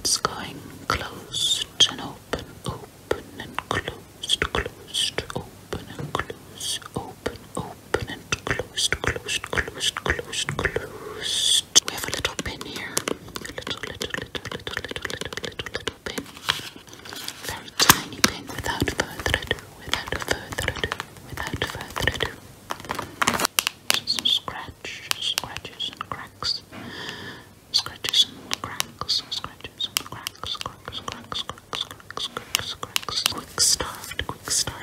It's going closed and open, open and closed, closed, open and closed, open open, open and closed, closed, closed, closed, closed. We have a little pin here. little, little, little, little, little, little, little, little pin. Very tiny pin without further ado, without further ado, without further ado. Some scratches and cracks. Scratches and cracks, scratches and cracks, cracks, cracks, cracks, cracks, cracks, cracks. Quick start, quick start.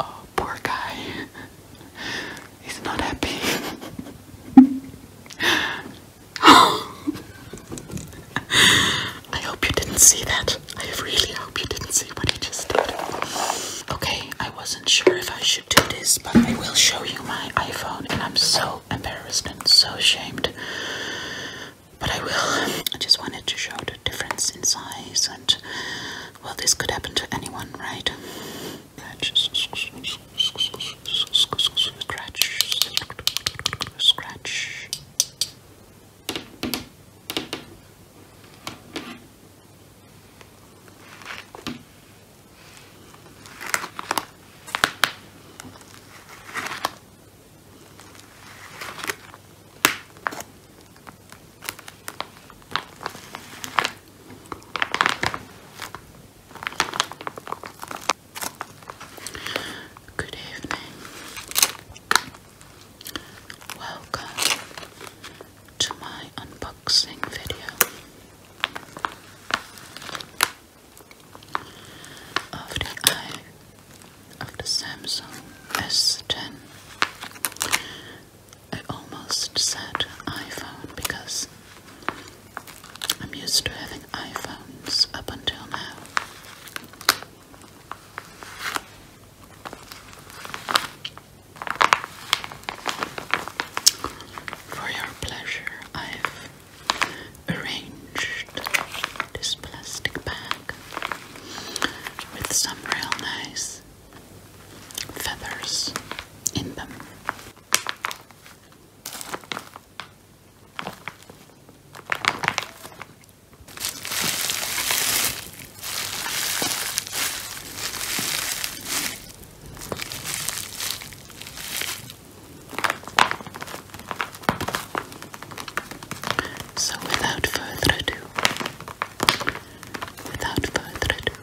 Oh, poor guy. He's not happy. I hope you didn't see that. I really hope you didn't see what he just did. Okay, I wasn't sure if I should do this, but I will show you my iPhone, and I'm so embarrassed and so ashamed. But I will. I just wanted to show the difference in size, and well, this could happen to anyone, right? Scratches, scratch, scratch. Good evening. Welcome to my unboxing video of the eye of the Samsung S10 I almost said iPhone because I'm used to having iPhones up until now. For your pleasure, I've arranged this plastic bag with some real nice feathers in them. So without further ado, without further ado,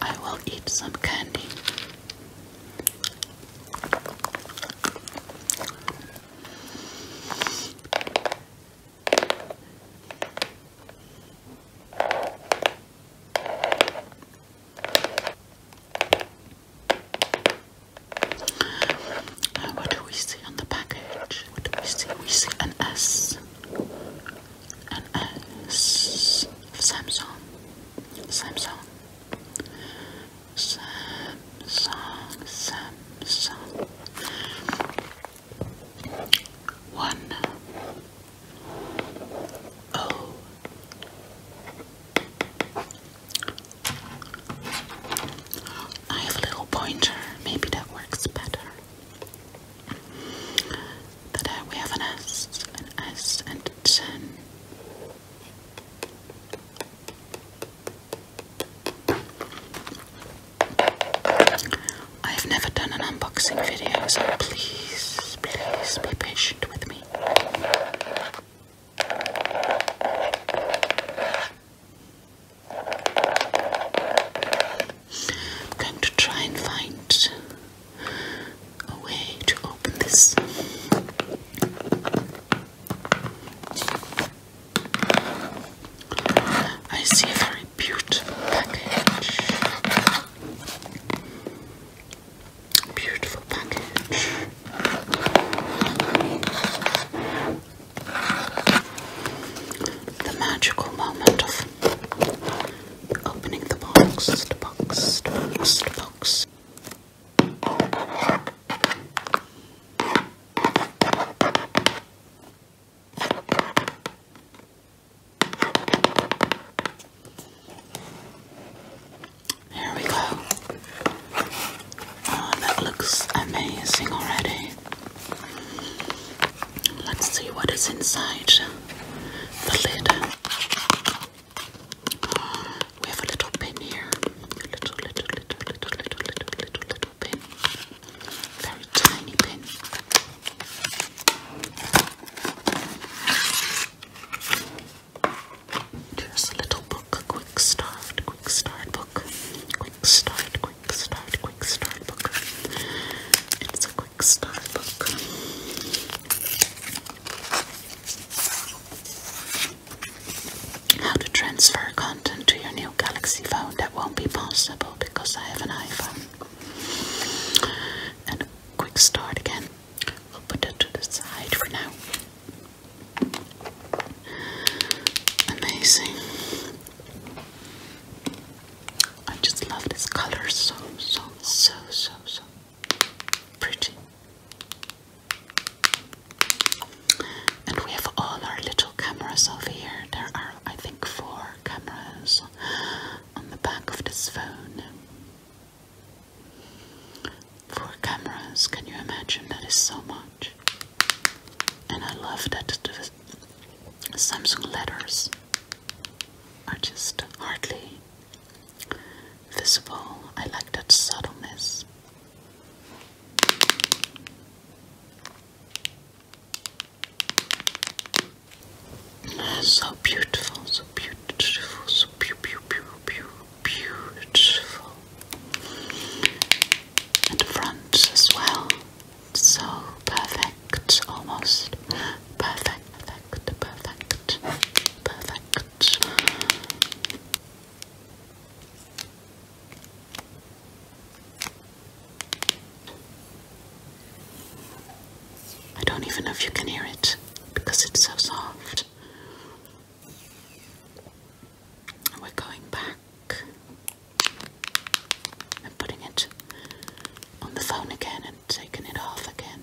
I will eat some candy what do we see on the package? What do we see? We see an S, an S of Samsung, Samsung. Samsung, Samsung. One O oh. I have a little pointer, maybe that works better. But uh, we have an S, an S, and a 10. I've never done an unboxing video, so please, please be patient with me. I'm going to try and find a way to open this. I see a very beautiful package. Beautiful package. The magical moment of opening the box, box, box. Here we go. Oh, that looks amazing already. Let's see what is inside the lid. We have a little pin here. A little, little, little, little, little, little, little, little pin. Very tiny pin. There's a little book, a quick start, quick start book. Quick start, quick start, quick start book. It's a quick start book. How to transfer content to your new Galaxy phone that won't be possible because I have an iPhone. And a quick start again. We'll put that to the side for now. Amazing. I just love this color so so so so so Pretty. And we have all our little cameras over here. There are, I think, four cameras on the back of this phone. Four cameras, can you imagine? That is so much. And I love that the Samsung letters are just hardly visible. I like that subtleness. So beautiful, so beautiful, so beautiful, beautiful. And the front as well, so perfect, almost perfect perfect, perfect, perfect. I don't even know if you can hear it because it's so soft. we're going back and putting it on the phone again and taking it off again.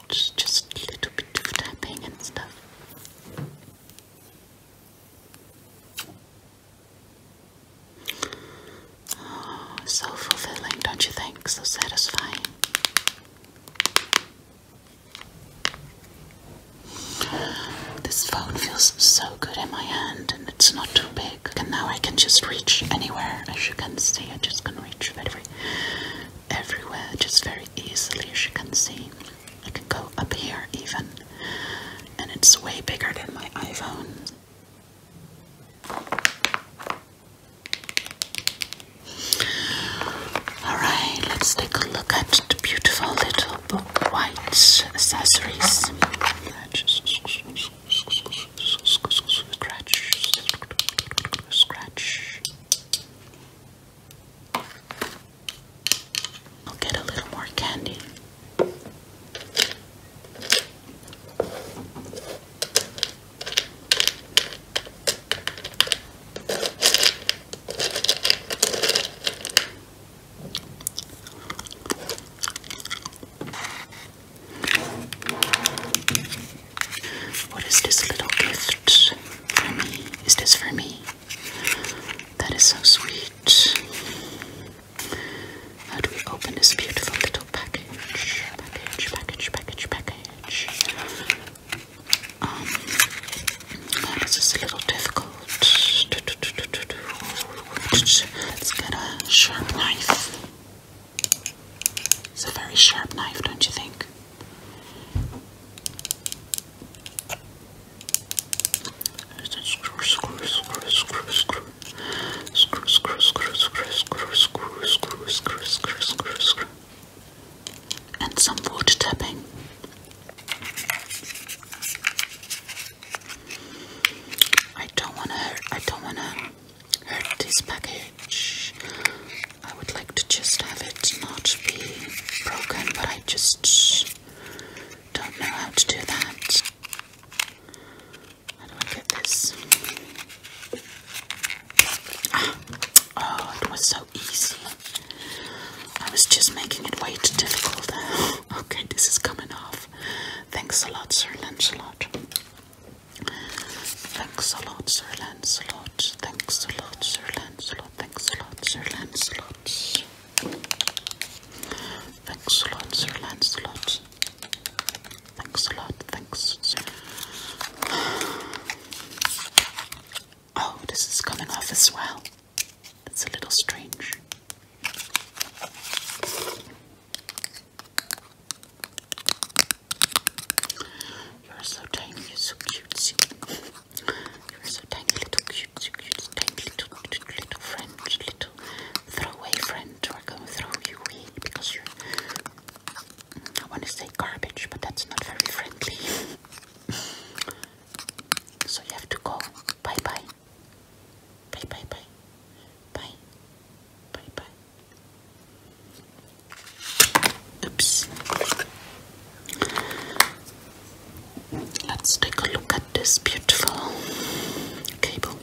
much, just a little bit of tapping and stuff. Oh, ah, so fulfilling, don't you think? So satisfying. This phone feels so good in my hand and it's not too big. And now I can just reach anywhere. As you can see, I just can reach very, very everywhere just very easily, as you can see. I can go up here even, and it's way bigger than my iPhone. Alright, let's take a look at beautiful little book white accessories. scratch, scratch, I'll get a little more candy. What is this little gift for me? Is this for me? That is so sweet. How do we open this beautiful little package? Package, package, package, package. Um, oh, this is a little difficult. Let's get a sharp knife. It's a very sharp knife, don't you think? Screw, screw, screw, screw, screw. Screw, screw, screw, screw, screw, screw, screw, screw, screw, screw, screw. And some water tapping. I don't wanna I don't wanna hurt this package. I would like to just have it not be broken, but I just don't know how to do that. How do I get this? Ah, oh, it was so easy. I was just making it way too difficult. okay, this is coming off. Thanks a lot, Sir Lancelot. Thanks a lot, Sir Lancelot. Thanks a lot, Sir Lancelot. Thanks a lot, Sir Lancelot. Thanks a lot, Sir Lancelot. Thanks a lot, thanks, Sir. Oh, this is coming off as well. That's a little strange. You're so tiny, you're so cute. You're so tiny, little cute, so cute, tiny little, little, little friend, little throwaway friend. We're going to throw you away because you're, I want to say garbage, but that's not very friendly. so you have to go. Bye bye. Bye bye bye. Bye. Bye bye. Oops. Let's take a look at this beautiful cable.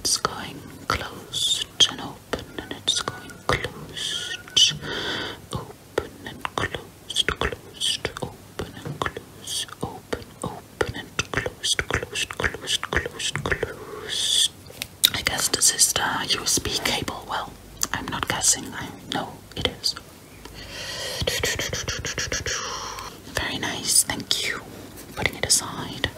It's going closed and open, and it's going closed, open and closed, closed, open and closed, open, open open and closed, closed, closed, closed, closed. I guess this is the USB cable. Well, I'm not guessing, I know it is. Very nice, thank you. Putting it aside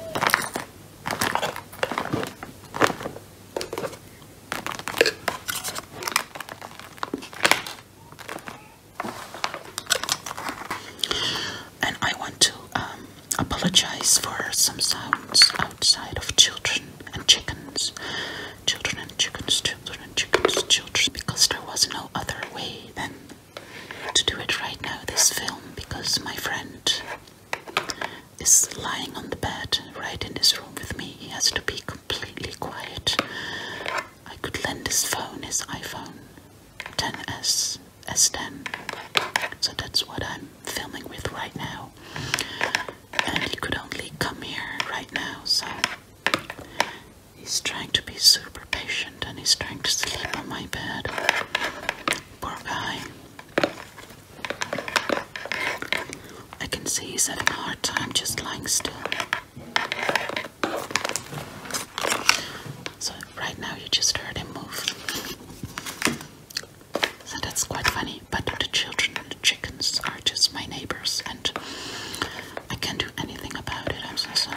and I want to um, apologize for some sounds outside of children and chickens, children and chickens, children and chickens, children, because there was no other way than to do it right now, this film, because my friend is lying on the bed right in this room with me. He has to be completely quiet. I could lend his phone, his iPhone 10s, a stem. So that's what I'm filming with right now. And he could only come here right now, so he's trying to be super patient and he's trying to sleep on my bed. Poor guy. I can see he's having a hard time just lying still. So Right now, you just heard him move. So that's quite funny. But the children and the chickens are just my neighbors, and I can't do anything about it. I'm so sorry.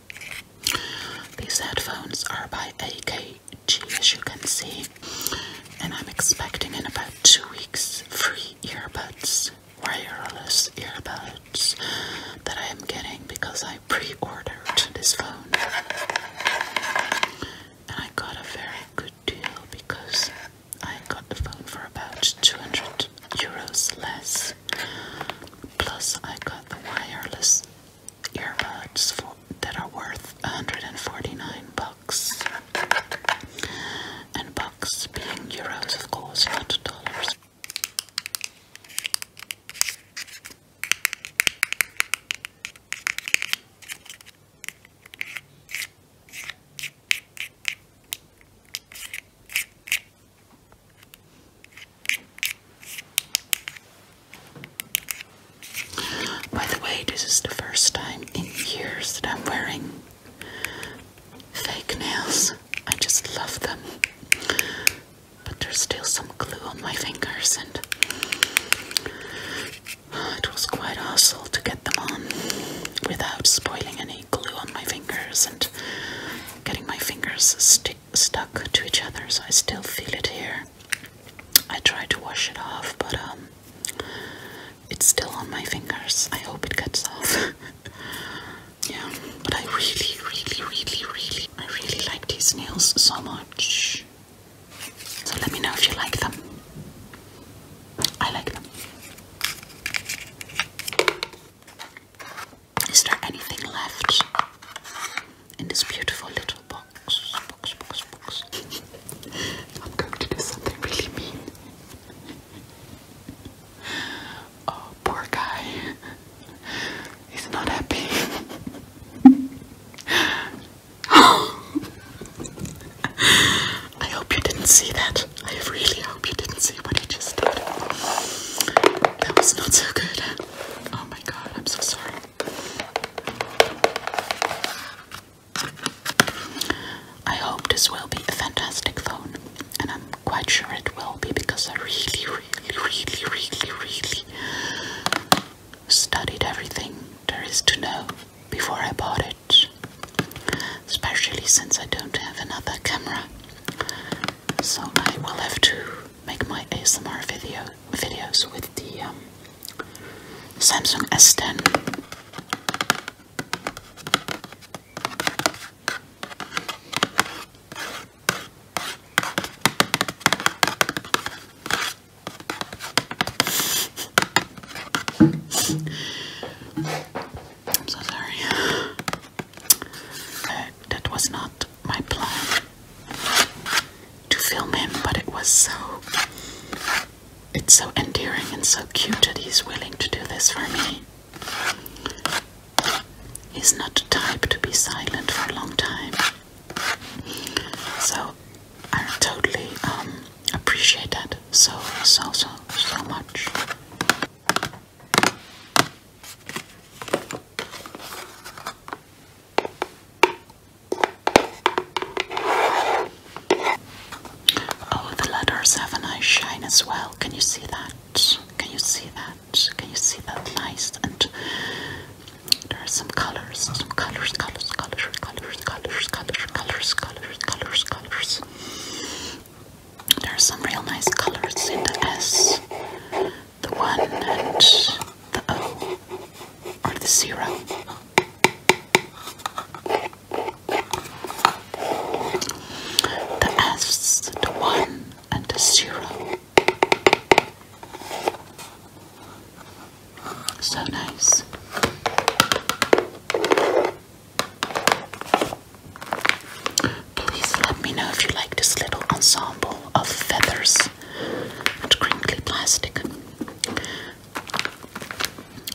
these headphones are by AKG, as you can see, and I'm expecting in about two weeks free earbuds, wireless earbuds that I am getting because I pre ordered this phone. And I got a very good deal because I got the phone for about 200 euros less Plus, I got the wireless earbuds for, that are worth 149 bucks. And bucks being euros, of course, not dollars. By the way, this is the first time in years that I'm wearing fake nails. I just love them. But there's still some glue on my fingers, and uh, it was quite a hassle to get them on without spoiling any glue on my fingers and getting my fingers stuck stuck to each other, so I still feel it here. I try to wash it off, but um, it's still on my fingers. I hope it gets off. yeah, but I really, really, really, really, I really like these nails so much. So let me know if you like them. I like them. Is there anything left in this beautiful little box? Box, box, box. I'm going to do something really mean. Oh, poor guy. He's not happy. I hope you didn't see that. I really hope you didn't see what he just did. That was not so good. Oh my god, I'm so sorry. I hope this will be a fantastic phone, and I'm quite sure it will be because I really, really, really, really, really studied everything there is to know before I bought it. Especially since I don't have another camera. So I will have to make my ASMR video videos with the um, Samsung S10. I'm so sorry. Uh, that was not my plan to film him, but it was so. It's so endearing and so cute that he's willing to do this for me. He's not the type to be silent for a long time. So I totally um, appreciate that so, so, so, so much. Oh, the letters have a nice shine as well. Can you see that? Can you see that? Can you see that nice? And there are some colors, some colors, colors, colors, colors, colors, colors, colors, colors, colors, colors. There are some real nice colors in the S, the 1 and the O, or the 0. The S, the 1 and the 0. So nice. Please let me know if you like this little ensemble of feathers and crinkly plastic.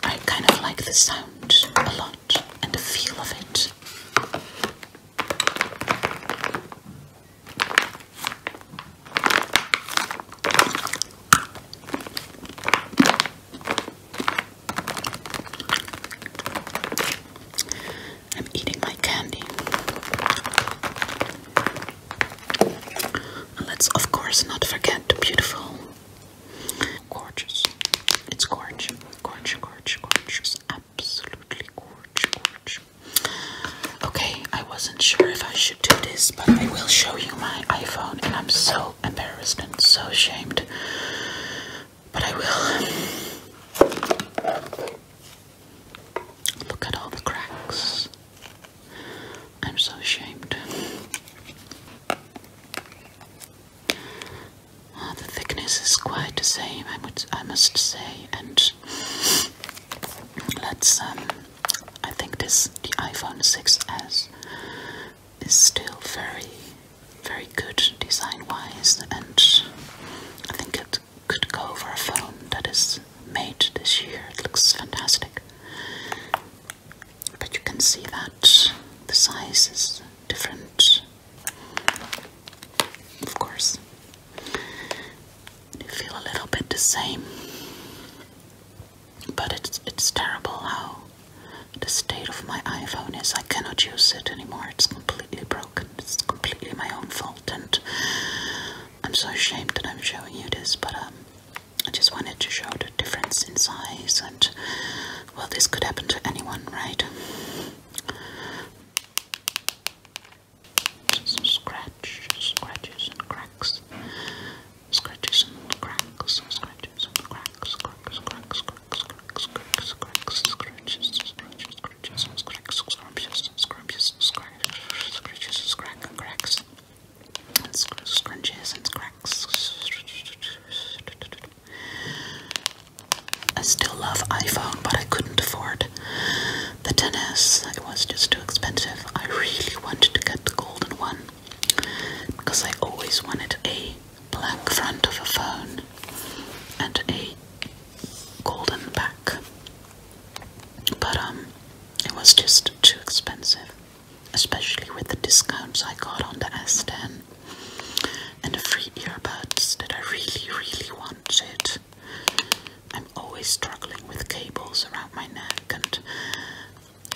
I kind of like the sound a lot and the feel of it. I'm eating my candy. And let's, of course, not forget the beautiful, gorgeous, it's gorgeous, gorgeous, gorgeous, gorgeous, absolutely gorgeous, gorgeous. Okay, I wasn't sure if I should do this, but I will show you my iPhone, and I'm so embarrassed and so ashamed. But I will. Look at all the cracks. I'm so ashamed. Ah, the thickness is quite the same, I, would, I must say. And let's, um, I think this, the iPhone 6S is still very, very good design wise, and I think it could go for a phone that is made this year. It looks fantastic. But you can see that the size is different, of course. You feel a little bit the same, but it's it's terrible how the state of my iPhone is I cannot use it anymore. It's completely broken. It's completely my own fault, and I'm so ashamed that I'm showing you this, but um, I just wanted to show the difference in size, and well, this could happen to anyone, right? Some scratches and cracks, scratches and cracks, scratches and cracks, cracks, cracks scrunches and cracks. I still love iPhone, but I couldn't afford the tennis. It was just too expensive. I really wanted to get the golden one because I always wanted a black front of a phone and a golden back. But um it was just too expensive, especially with the discounts I got on the S10 and the free earbuds that I really, really wanted. I'm always struggling with cables around my neck, and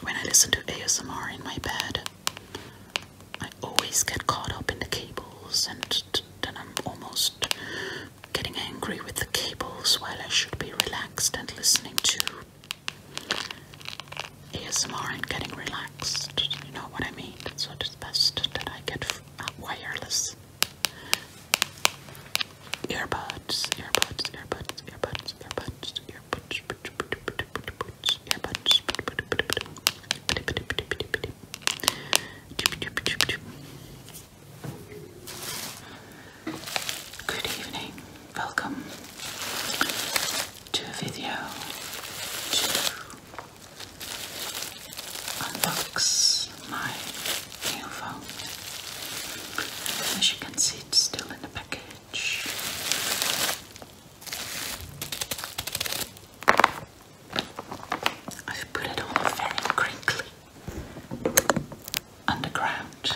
when I listen to ASMR in my bed, I always get caught up in the cables, and then I'm almost getting angry with the cables while I should be relaxed and listening to ASMR and getting relaxed. You know what I mean? So it's best that I get uh, wireless earbuds, earbuds, earbuds, earbuds, earbuds, earbuds. Good evening, welcome to a video unbox my new phone. As you can see, it's still in the package. I've put it all very crinkly underground.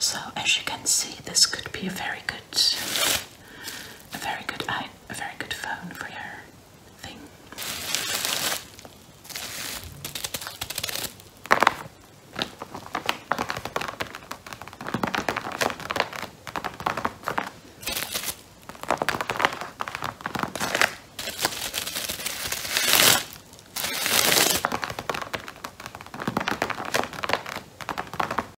So, as you can see, this could be a very good a very good a very good phone for your thing.